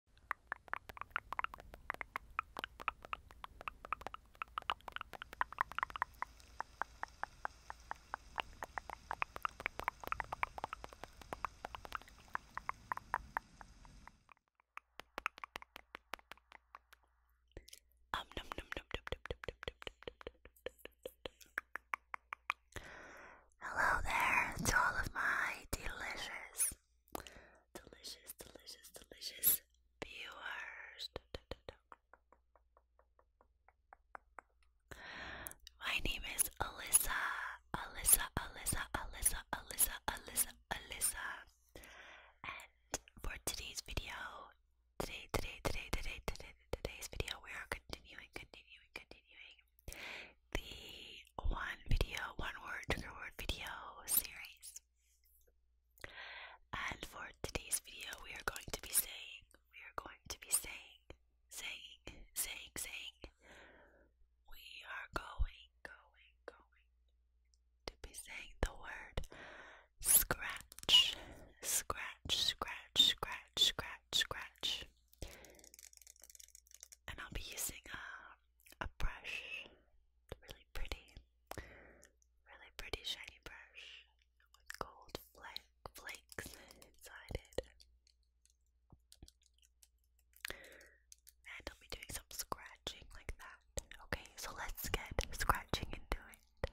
Um, num, num, num, num, num, num, num, num. Hello there to all of my delicious delicious, delicious, delicious viewers. My name is Alyssa, Alyssa, Alyssa, Alyssa, Alyssa, Alyssa, Alyssa. And for today's video, today, today, today, today, today, today's video, we are continuing, continuing, continuing the one video, one word trigger word video series. And for today's video, we are going to be saying, we are going to be saying, saying, saying, saying, we are going, going, going to be saying the word scratch, scratch, scratch, scratch, scratch, scratch. And I'll be using a. Uh, a brush, really pretty, really pretty shiny brush with gold flake, flakes inside it. And I'll be doing some scratching like that. Okay, so let's get scratching into it.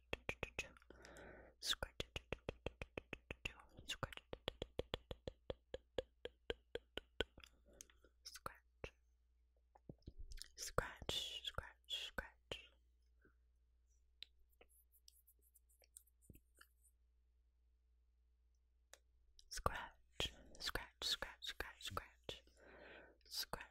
scratch it, scratch scratch, scratch, scratch, scratch. Scratch, scratch, scratch, scratch, scratch, scratch,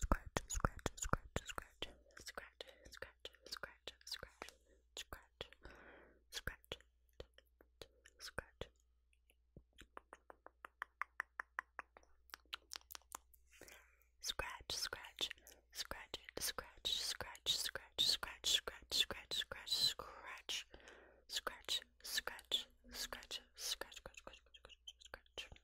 scratch, scratch, scratch, scratch, scratch, scratch, scratch, scratch, scratch, scratch, scratch. Scratch, scratch, scratch it, scratch, scratch, scratch, scratch, scratch, scratch, scratch, scratch, scratch, scratch, scratch, scratch, scratch, scratch, scratch, scratch, scratch.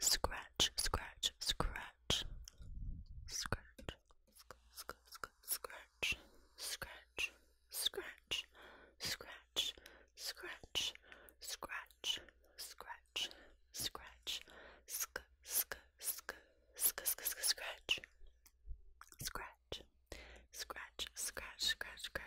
Scratch, scratch, scratch. Scratch, scratch, scratch, scratch, scratch, scratch, scratch, scratch, scratch, scratch, sk, sk, sk, sk, sk, scratch, scratch, scratch, scratch, scratch, scratch, scratch, scratch, scratch.